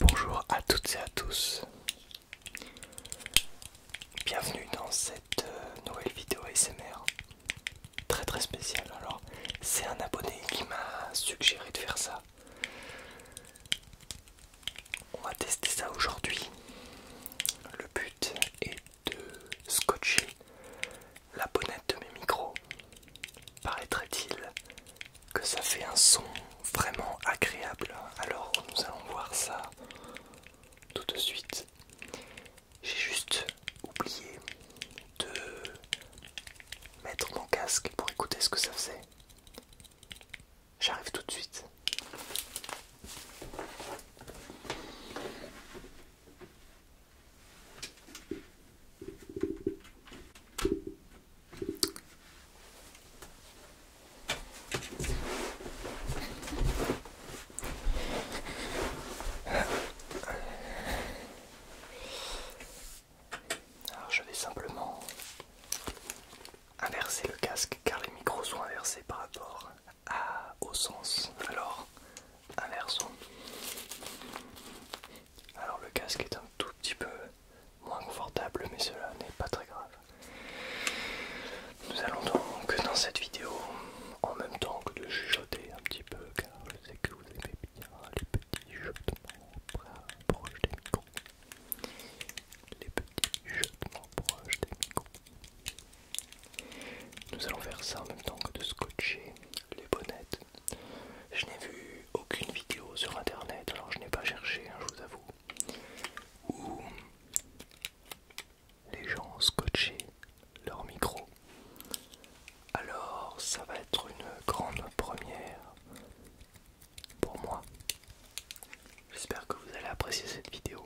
Bonjour à toutes et à tous. Bienvenue dans cette euh, nouvelle vidéo ASMR très très spécial. Alors, c'est un abonné qui m'a suggéré de faire ça. On va tester ça aujourd'hui. Le but est de scotcher la bonnette de mes micros. Paraîtrait-il que ça fait un son vraiment agréable. Alors nous allons voir ça tout de suite. J'ai juste oublié de mettre mon casque pour écouter ce que ça faisait. J'arrive tout de suite. Alors je vais simplement inverser le casque car les micros sont inversés par rapport à, au sens. Alors inversons. Alors le casque est un tout petit peu moins confortable mais cela n'est pas très grave. Nous allons donc dans cette vidéo en même temps que de chuchoter un petit peu car je sais que vous aimez bien les petits jetements proches des micros. Les petits jetements proches des micros. Nous allons faire ça en même temps que de scotcher les bonnettes. Je n'ai vu aucune vidéo sur internet, alors je n'ai pas cherché, hein, je vous avoue, où les gens scotché leur micro. Alors ça va être une grande première pour moi. J'espère que vous allez apprécier cette vidéo.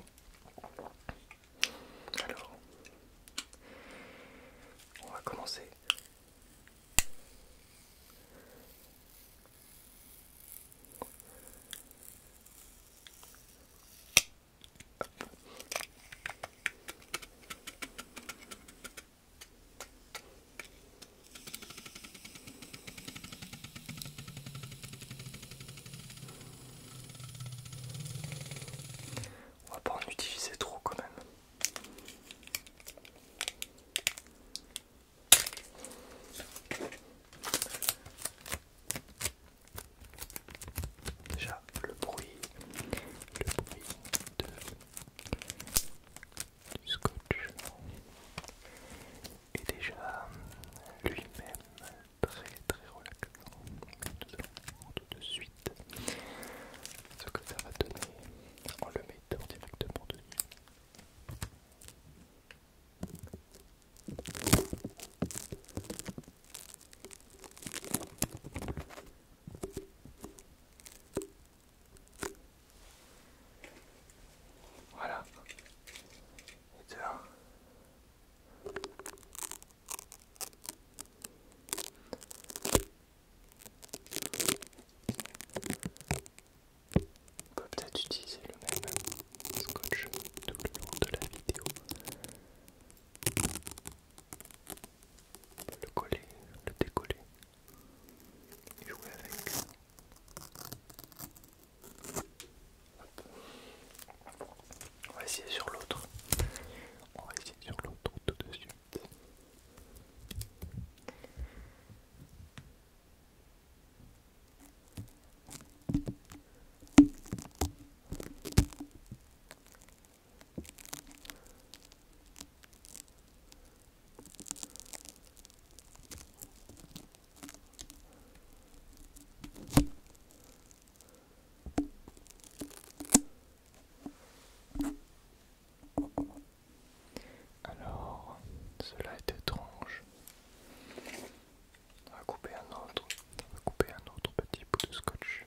Alors, on va commencer. On va pas en utiliser trop quand même. Déjà, le bruit le bruit de, du scotch est déjà euh, lui-même très très relaxant. Nous allons tout de suite ce que ça va donner en le mettant directement dessus. Voilà. Et dehors. On peut peut-être utiliser le même scotch tout le long de la vidéo le coller, le décoller et jouer avec. On va essayer sur l'autre. On va essayer sur l'autre tout de suite. Alors, cela est étrange. On va couper un autre, on va couper un autre petit bout de scotch.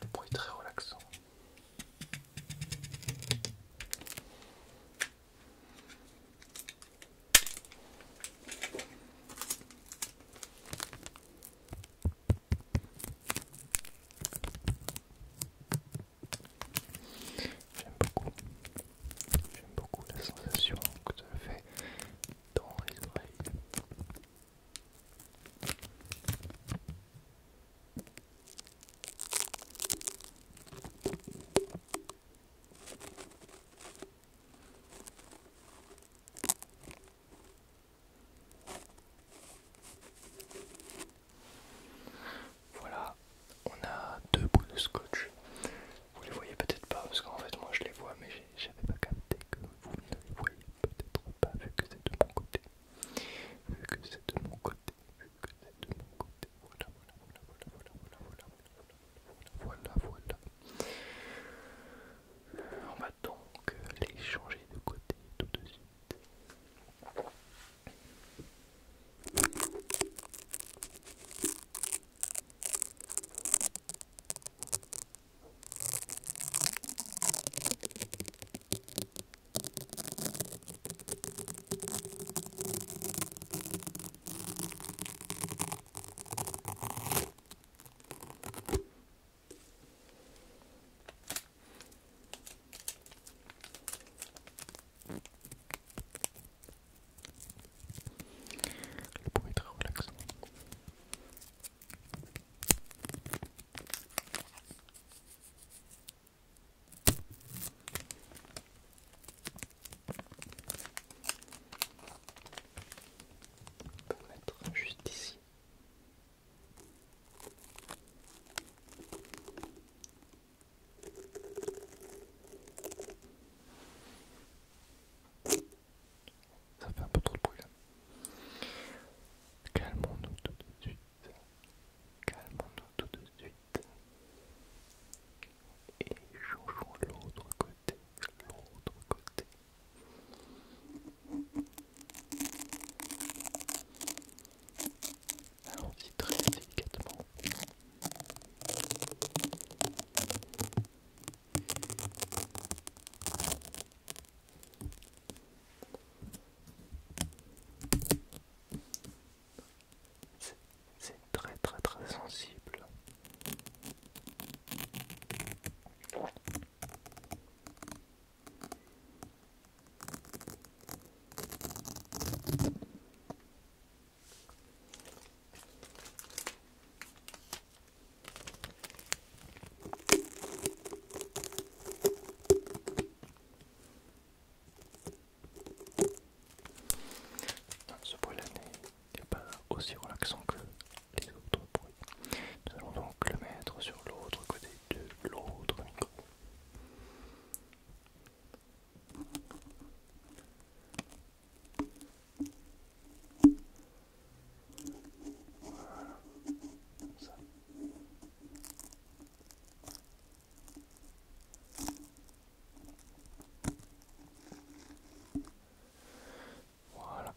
Le bruit très relaxant. J'aime beaucoup. J'aime beaucoup la sensation que ça fait dans les oreilles. Voilà, on a deux bouts de scotch. Vous les voyez peut-être pas parce qu'en fait moi je les vois mais j'avais pas capté que vous ne les voyez peut-être pas vu que c'est de mon côté vu que c'est de mon côté, vu que c'est de mon côté, voilà, voilà, voilà, voilà, voilà, voilà, voilà, voilà, voilà, On va donc les changer de côté tout de suite. Le point est très relaxant. On peut mettre juste ici. Ça fait un peu trop de bruit là. Calmons-nous tout de suite. Calmons-nous tout de suite. Et changeons l'autre côté. L'autre côté. Allons-y très délicatement. C'est très très très sensible. Ce bruit là n'est pas aussi relaxant que les autres bruits. Nous allons donc le mettre sur l'autre côté de l'autre micro. Voilà.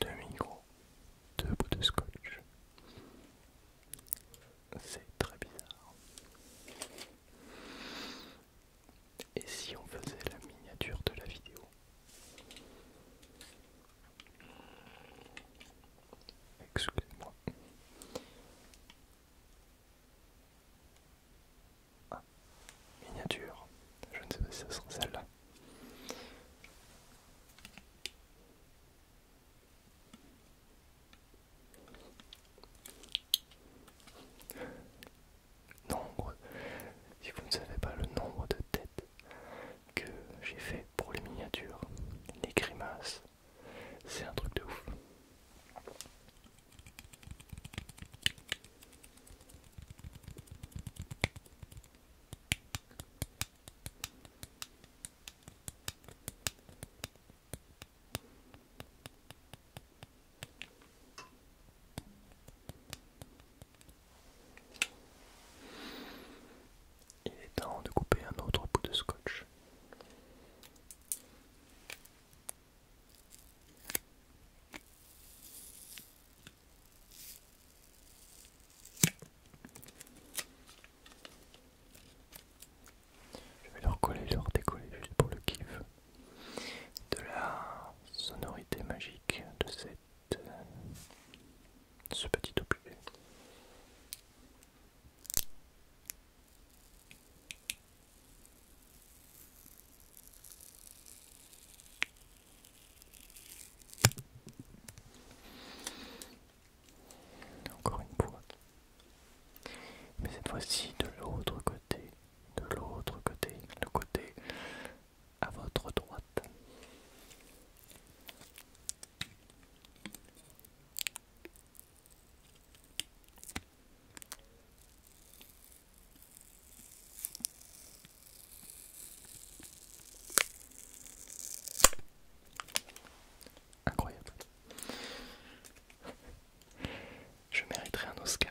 Deux micros, deux bouts de scotch. C'est très bizarre. Et si on faisait la miniature de la vidéo Excusez-moi. Ah, miniature. Je ne sais pas si ce sera celle-là nombre, si vous ne savez pas le nombre de têtes que j'ai fait pour les miniatures, les grimaces, c'est un truc de ouf. Il est temps de couper un autre bout de scotch. Je vais leur coller, leur décoller juste pour le kiff de la sonorité magique de cette ce petit objet. Encore une fois. Mais cette fois-ci de l'autre côté, de l'autre côté, le côté à votre droite. Incroyable. Je mériterai un Oscar.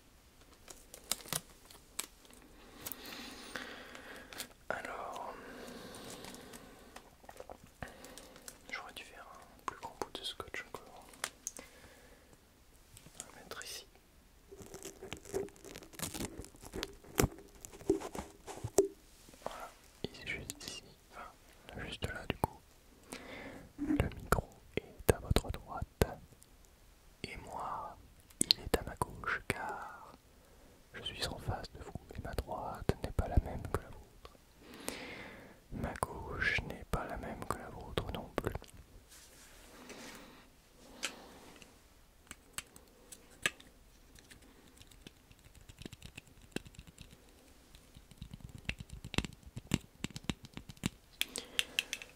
Alors, j'aurais dû faire un plus grand bout de scotch encore. On va mettre ici. Voilà, il est juste ici, enfin, juste là du coup. Le micro est à votre droite et moi, il est à ma gauche car je suis en face de vous et ma droite n'est pas la même que la vôtre. Ma gauche n'est pas la même que la vôtre non plus.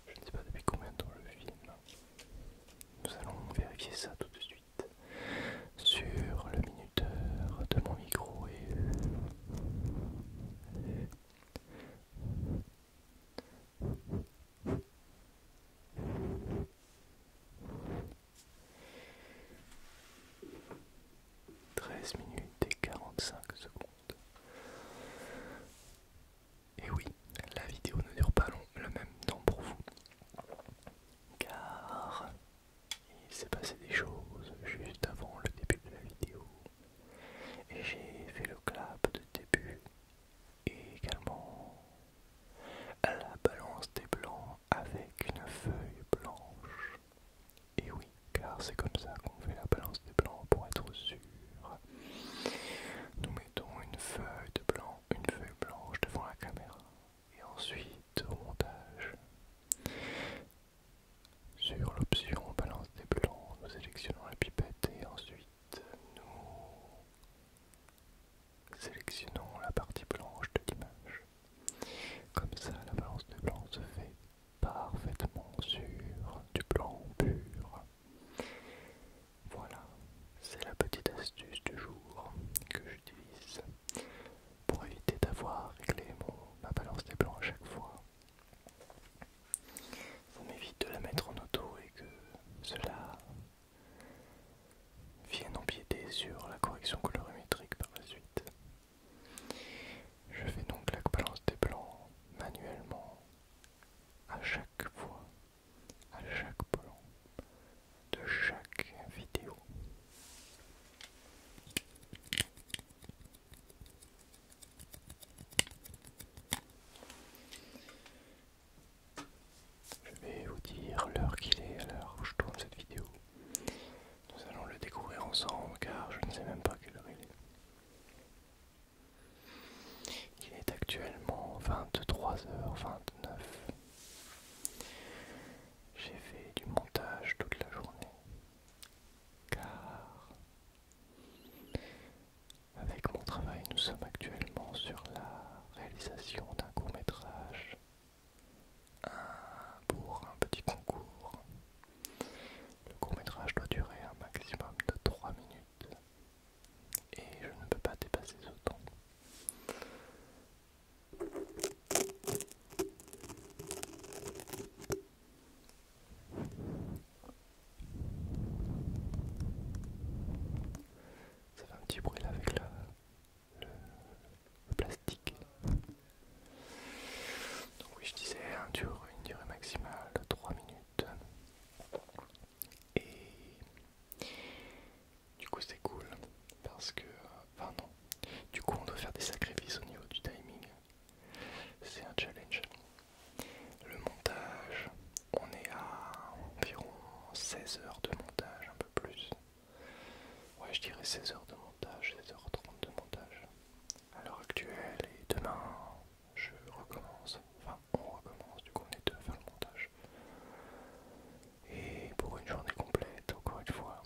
Je ne sais pas depuis combien de temps je filme. Nous allons vérifier ça tout de suite sur le minuteur de mon micro et... Treize minutes et 45 secondes. Et oui, la vidéo ne dure pas long, le même temps pour vous. Car il s'est passé des choses juste avant le début de la vidéo. Et j'ai fait le clap de début. Et également la balance des blancs avec une feuille blanche. Et oui, car c'est comme ça qu'on fait la balance des blancs pour être sûr nous mettons une feuille de blanc, une feuille blanche devant la caméra et ensuite au montage. Sur l'option balance des blancs, nous sélectionnons la pipette et ensuite nous sélectionnons la partie blanche de l'image. Comme ça, la balance de blanc se fait parfaitement sur du blanc pur. Voilà, c'est la petite astuce du jour que j'utilise pour éviter d'avoir réglé mon, ma balance des blancs à chaque fois. on m'évite de la mettre en auto et que cela vienne empiéter sur la correction colorimétrique par la suite. Je fais donc la balance des blancs manuellement à chaque fois, à chaque plan de chaque vidéo. Je vais vous dire l'heure qu'il est à l'heure où je tourne cette vidéo. Nous allons le découvrir ensemble car je ne sais même pas quelle heure il est. Il est actuellement 23h29. J'ai fait du montage toute la journée. Car avec mon travail, nous sommes actuellement sur la réalisation d'un court métrage pour un petit concours le court-métrage doit durer un maximum de 3 minutes et je ne peux pas dépasser ce temps. Ça fait un petit bruit avec le plastique. Donc oui, je disais un une durée maximale de 3 minutes. Et du coup c'est cool parce que... Enfin non. Du coup on doit faire des sacrifices au niveau du timing. C'est un challenge. Le montage, on est à environ 16 heures de montage, un peu plus. Ouais je dirais 16 heures de montage, 16h30 de montage à l'heure actuelle et demain je recommence, enfin on recommence, du coup on est deux à faire le montage. Et pour une journée complète, encore une fois.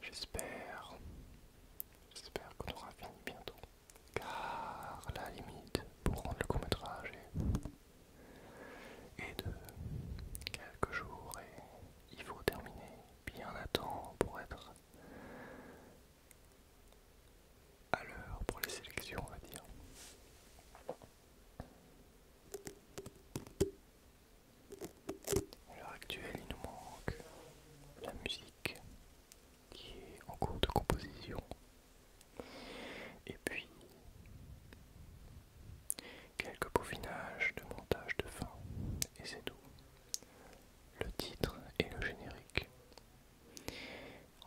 J'espère, j'espère qu'on aura fini bientôt. Car la limite pour rendre le court métrage est, est de quelques jours et il faut terminer bien à temps pour être à l'heure pour les sélections, on va dire. À l'heure actuelle, il nous manque la musique qui est en cours de composition. Et puis quelques peaufinages de montage de fin, et c'est tout. Le titre et le générique.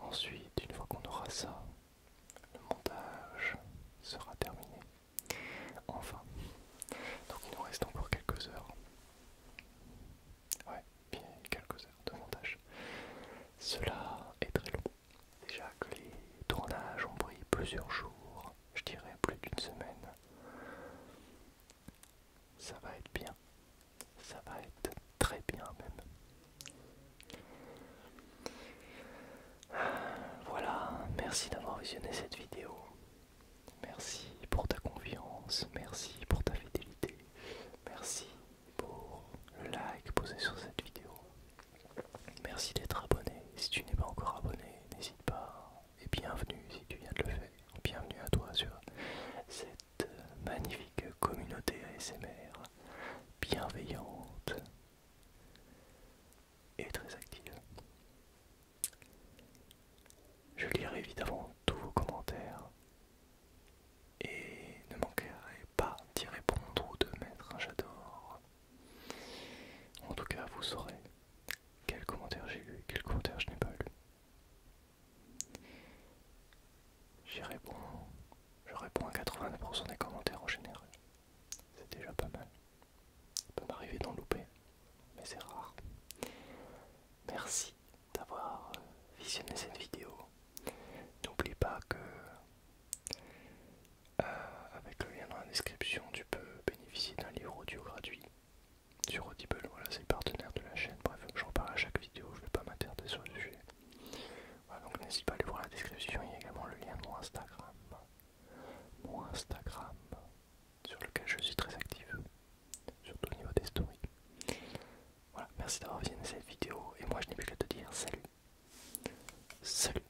Ensuite, une fois qu'on aura ça, le montage sera terminé. Enfin. Donc il nous reste encore quelques heures. Ouais, bien quelques heures de montage. Cela est très long. Déjà que les tournages ont pris plusieurs jours, je dirais plus d'une semaine. Ça va être bien. Ça va être très bien même. Voilà, merci d'avoir visionné cette vidéo. Merci pour ta confiance, merci pour ta fidélité, merci pour le like posé sur cette vidéo. Merci d'être abonné. Si tu n'es pas encore abonné, n'hésite pas et bienvenue si tu viens de le faire. Bienvenue à toi sur cette magnifique communauté ASMR bienveillante et très active. Je lirai évidemment tous vos commentaires et ne manquerai pas d'y répondre ou de mettre un j'adore. En tout cas, vous saurez quel commentaire j'ai lu Quel commentaire je n'ai pas lu J'y réponds. Je réponds à 80% des commentaires en général. C'est déjà pas mal. Ça peut m'arriver d'en louper, mais c'est rare. Merci d'avoir euh, visionné cette vidéo. N'oublie pas que euh, avec le lien dans la description, tu peux bénéficier d'un livre audio gratuit sur Audible. Voilà, c'est le partenaire de la chaîne. Bref, je parle à chaque vidéo, je ne vais pas m'attarder sur le sujet. Voilà, donc n'hésite pas à aller voir la description. Il y a également le lien de mon Instagram. Mon Instagram, sur lequel je suis très active, surtout au niveau des stories. Voilà, merci d'avoir visionné cette vidéo. Et moi, je n'ai plus qu'à te dire salut. Salut.